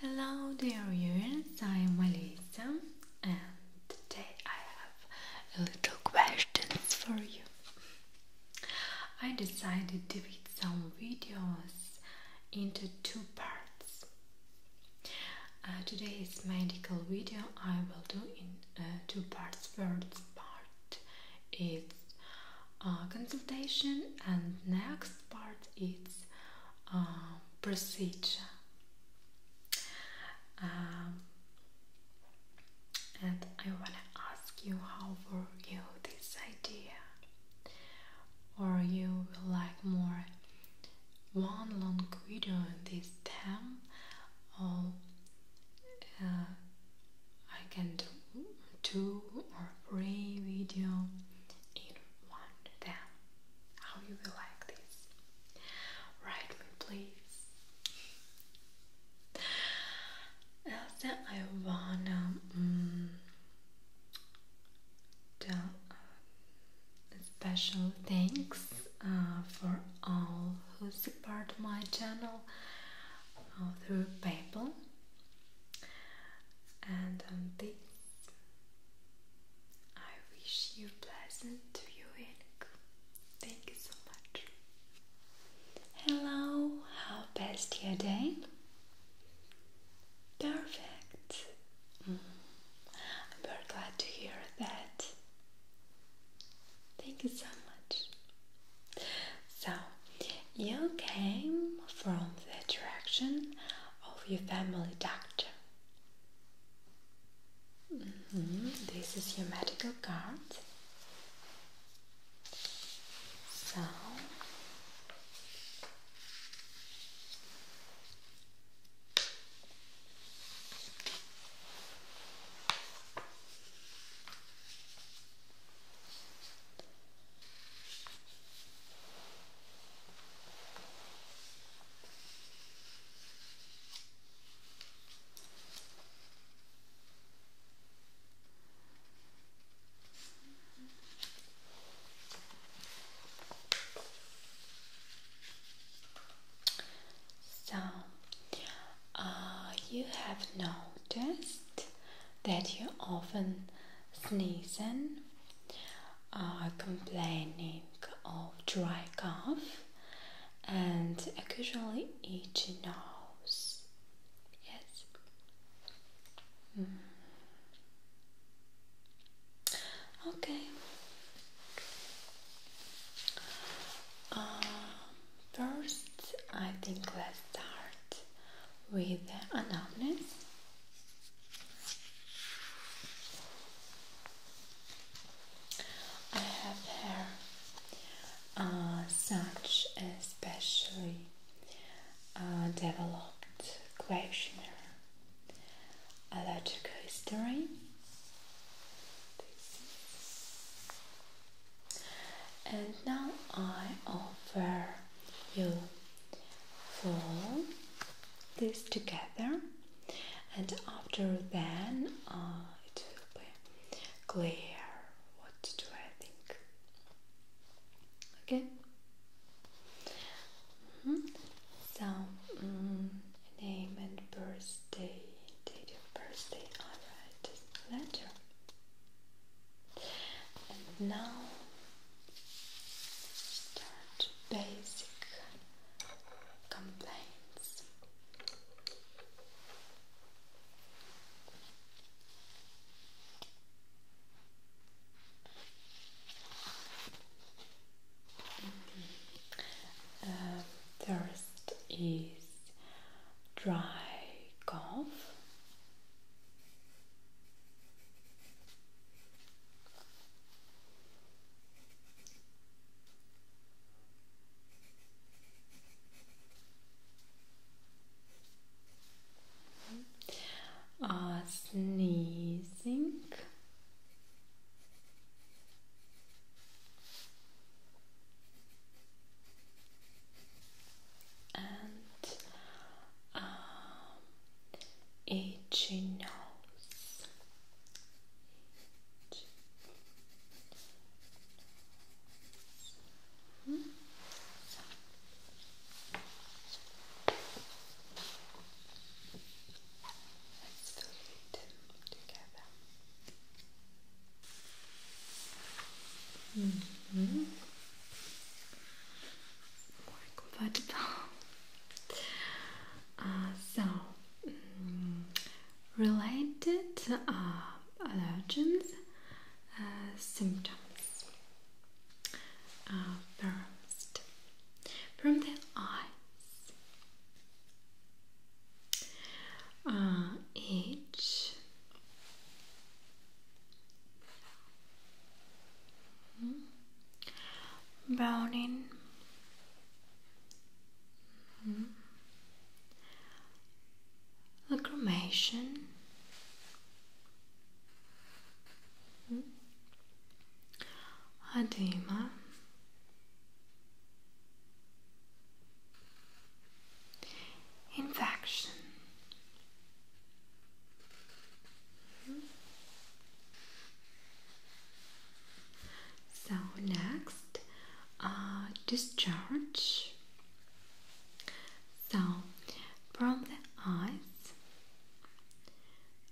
Hello dear viewers, I am Melissa and today I have a little questions for you. I decided to put some videos into two parts. Uh, today's medical video I will do in uh, two parts. First part is uh, consultation and next part is procedure. Um, and I want to ask you how were you this idea? Or you like more one long video in this time, or uh, I can do two or three video in one time how you will like this. Write me, please. Also, I wanna mm, uh, special thanks uh, for all who support my channel uh, through PayPal. And this, I wish you pleasant viewing. Thank you so much. Hello, how passed your day? Perfect. I'm mm-hmm. very glad to hear that. Thank you so much. So, you came from the direction of your family doctor. Mm-hmm. This is your medical card. So so, uh, you have noticed that you often sneeze are complaining of dry cough and occasionally itchy nose. Yes. Hmm. Okay. Uh, first, I think let's start with the anatomy. I have hair uh, such especially uh, developed questionnaire, a logical history. And now I offer you fold this together and after then uh, it will be clear what do I think okay mm-hmm. mm so name and birthday date your birthday I all right letter and now Start basic complaints. Mm first is dry cough. Uh, sneezing. And um, itchy hmm. nose. Let's fill it together. -hmm more uh, so, mm, related uh, allergens uh, symptoms. Uh, first, from the eyes. Uh, Browning. Mm. Lacrimation. Mm-hmm. Edema. Infection. So next, uh, discharge. So from the eyes,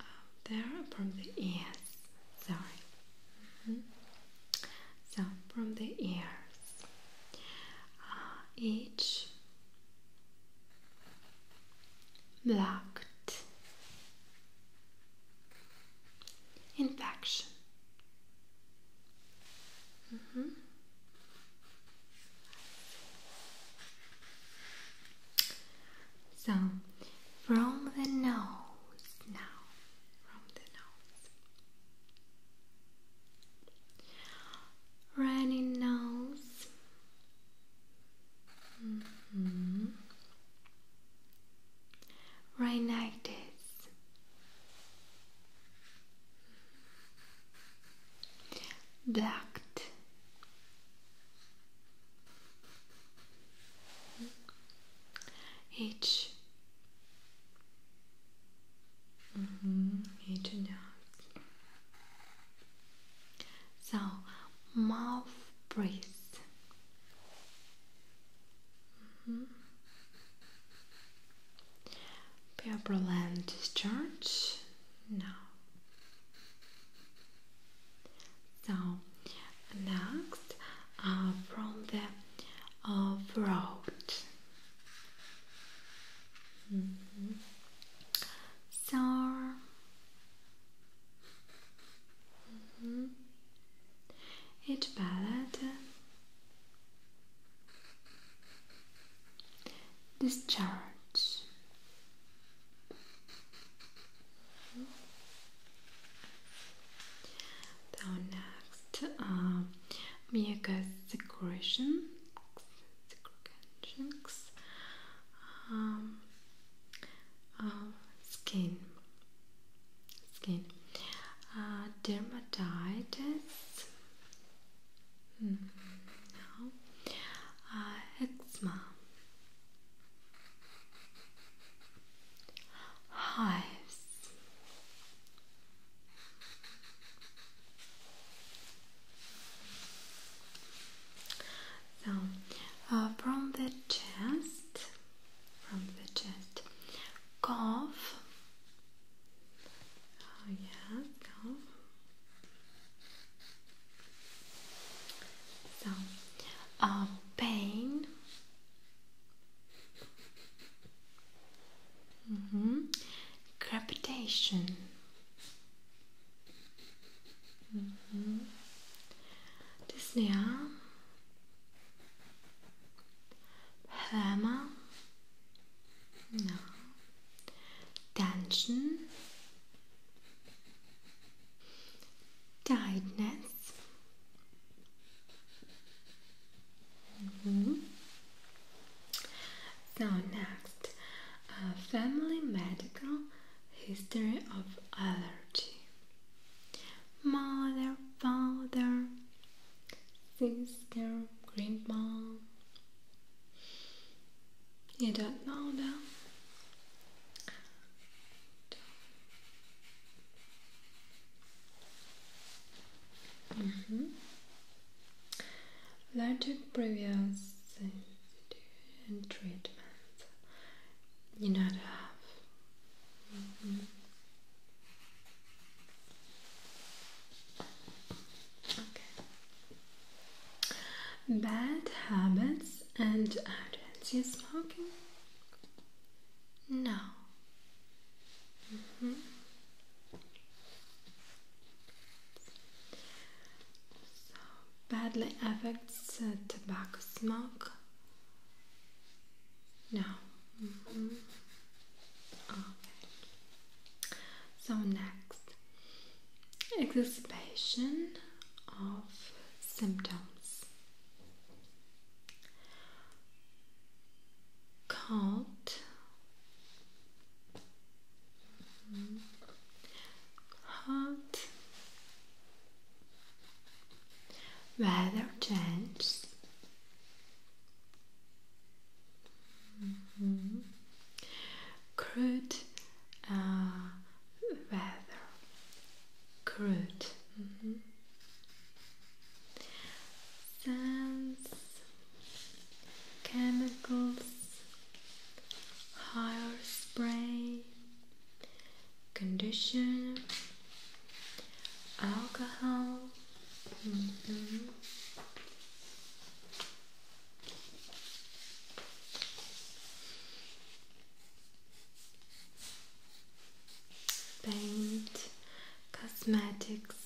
uh, there from the ears. Sorry. Mm-hmm. So from the ears, uh, each blocked infection mm-hmm. so from the nose now from the nose runny nose Mm -hmm. Right like this. Blacked. H. Mm -hmm. H and out. So, mouth breathe. Mm -hmm. Purple and discharge. No. So, next uh, from the uh, throat. Mm -hmm. So, Mm -hmm. discharge. Mm -hmm. Now next, uh, Mieka's the um, um, skin skin uh, dermatitis mm, eczema hives so, uh, from the chest, from the chest, cough. Oh yeah, cough. So, uh, pain. Mm -hmm. Crepitation. Mhm. Dyspnea, no. Tension, tiredness, mm-hmm. So next, uh, family medical History of allergy. Mother, father, sister, grandma. You don't know them. Mm -hmm. Allergic previous treatment you know to mm-hmm. Bad habits and habits. You smoking? No. Mm-hmm badly affects uh, tobacco smoke? No. Mm-hmm. So next, exacerbation of symptoms. Cold, hot weather changes mm-hmm. crude uh, weather crude mm chemicals, Hair spray, conditioner, alcohol. Mm-hmm. Paint, cosmetics,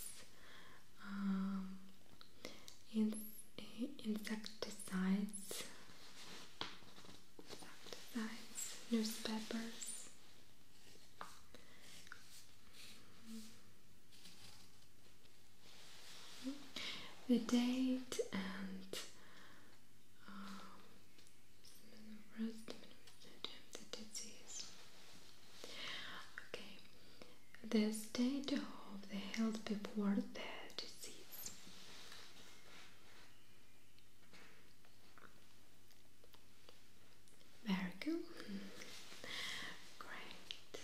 um, insecticides, insecticides, newspapers. The date and uh, the disease. Okay, the state of the health before the disease. Very good. Great.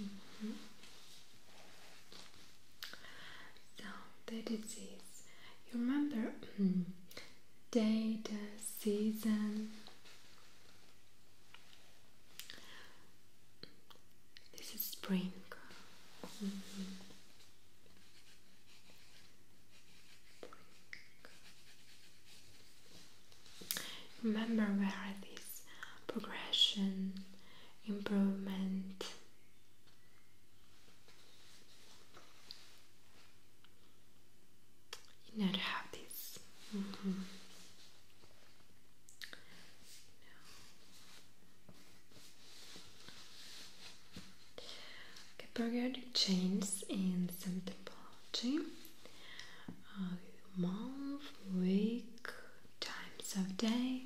Mm-hmm. So the disease. You remember day, the season. This is spring. Remember where this progression, improvement, you never have these. Mm-hmm. Okay, periodic changes in symptomology. Uh, month, week, times of day.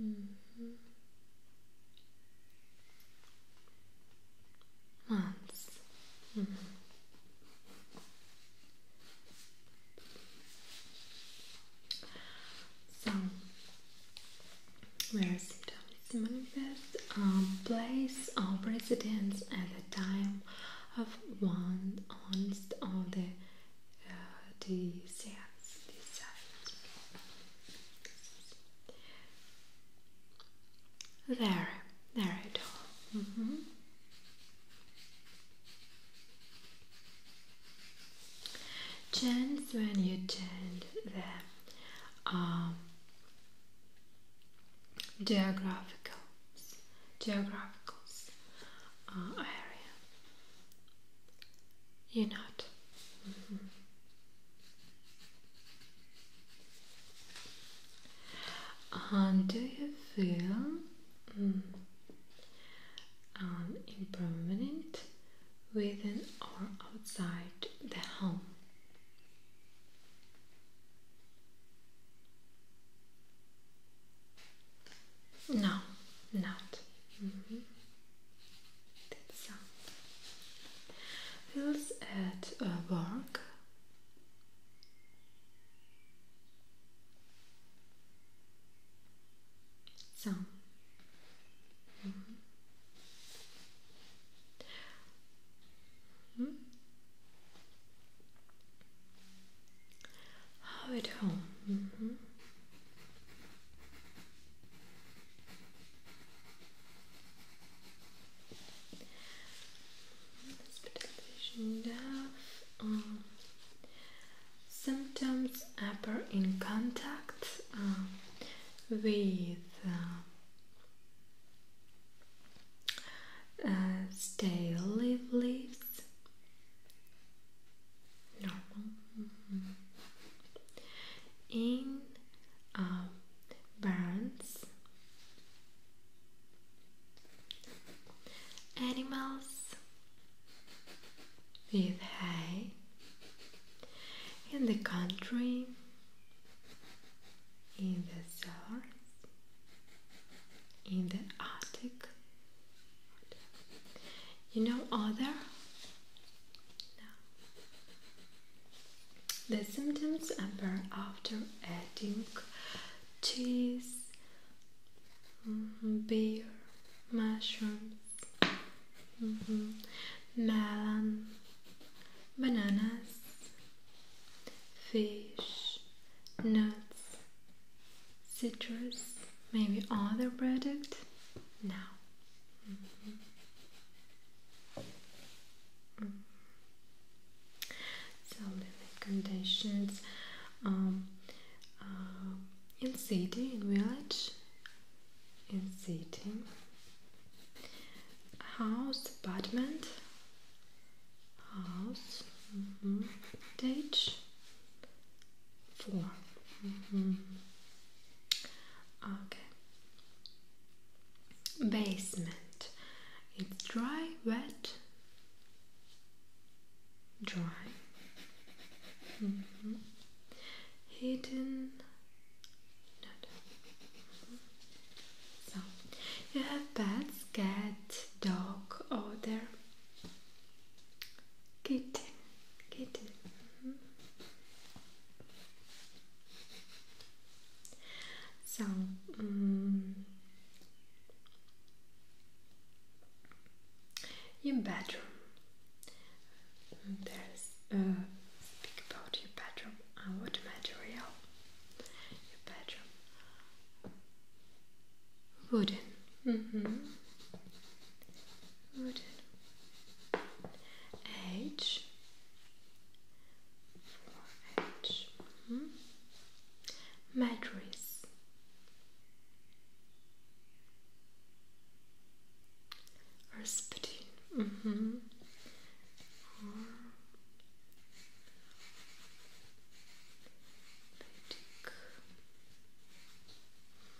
Mm Months. Mm-hmm. So, where Sita is manifest, um, place of residence at the time of one honest of the uh, deserts, deserts. There, there it all. Mm -hmm. Chance when you change the um, geographical geographical uh, area you're not. And mm-hmm. um, do you feel mm, an um, impermanent within or outside the home? No, not. Mm -hmm. so. Feels at uh, work. So. How oh, at home. Mm -hmm. symptoms appear in contact um, with uh, uh, stale leaves in um, barns animals with hay in the country in the south in the attic you know other? The symptoms appear after eating cheese, mm-hmm, beer, mushrooms, mm-hmm, melon, bananas, fish, nuts, citrus, maybe other product? No. Mm-hmm. Mm-hmm. So living conditions um, uh, in city, in village, in city, house, apartment, house, mm stage, four. Mm-hmm. Okay. Basement. It's dry, wet, dry. Mm Hidden. you have pets, cat, dog, or there. Good, good. Mm-hmm. Mm -hmm. So, um, in bedroom, there's uh, speak about your bedroom and uh, what material your bedroom. Wooden. Mm-hmm. Wooden. Edge. Foredge. Mm -hmm. Mattress. Rasputin. Mm-hmm.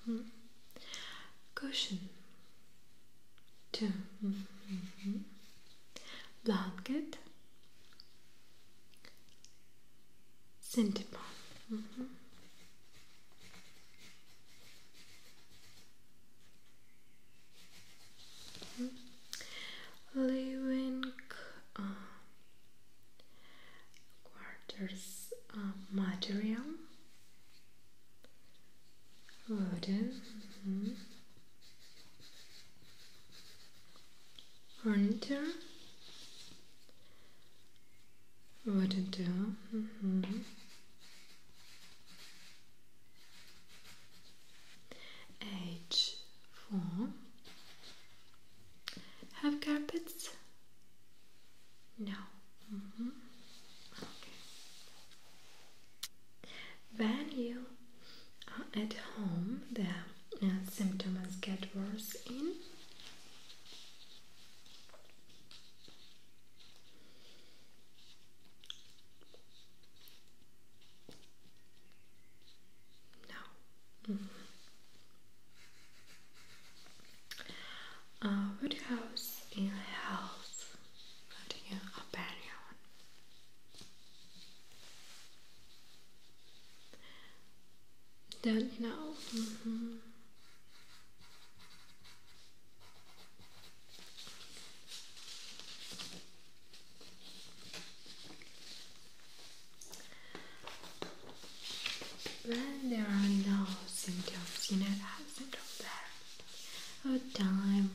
Mm-hmm cushion, two, mm-hmm. blanket, centipon. Mm mm-hmm. mm-hmm. Living uh, quarters material wooden mm-hmm. furniture wooden too mm 4 have carpets no. Mm -hmm. Okay. When you are at home, the uh, symptoms get worse in. No. Mm-hmm. Uh, a what house in a house? What in your opinion? Don't know. Mm-hmm. When there are no symptoms, you know that symptom there. Oh, time.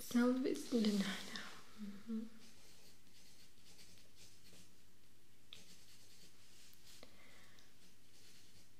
Sound with the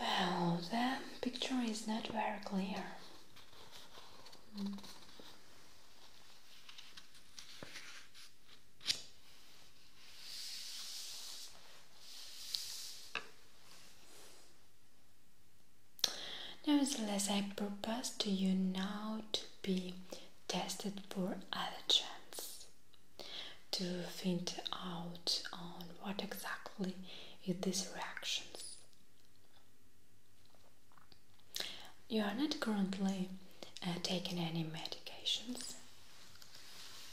Well, the picture is not very clear. Nevertheless, I propose to you now to be tested for allergens to find out on what exactly is these reactions. You are not currently uh, taking any medications?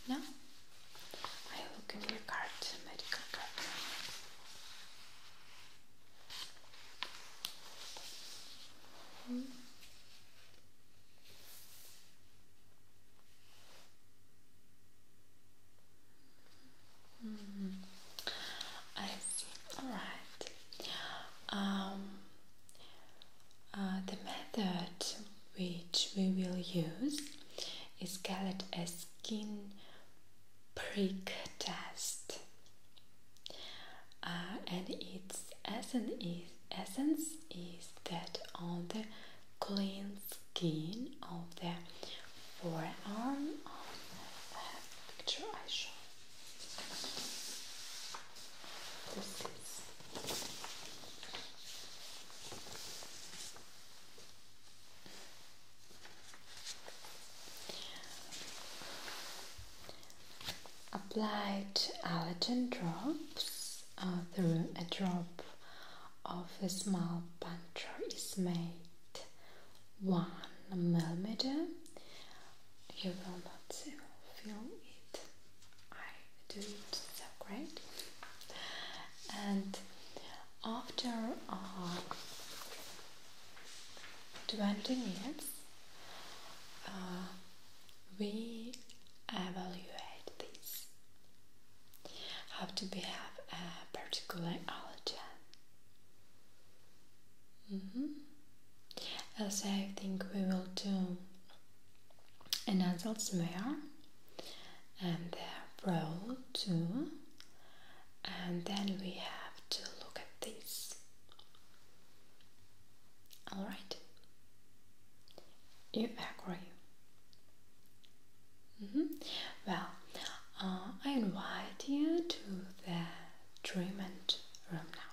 No? I look in your card, medical card. Hmm? -hmm. I see. All right. Um, uh, the method which we will use is called a skin prick test, uh, and its essence is, essence is that on the clean skin of the forearm on the picture I show. applied allergen drops uh, through a drop of a small puncture is made one millimeter, you will not feel it. I do it so great. And after uh, 20 minutes, uh, we evaluate this have to behave a particular allergen. Mm -hmm. Also, I think we will do an adult smear and the roll too, and then we have to look at this. All right, you agree? Mm -hmm. Well, uh, I invite you to the treatment room now.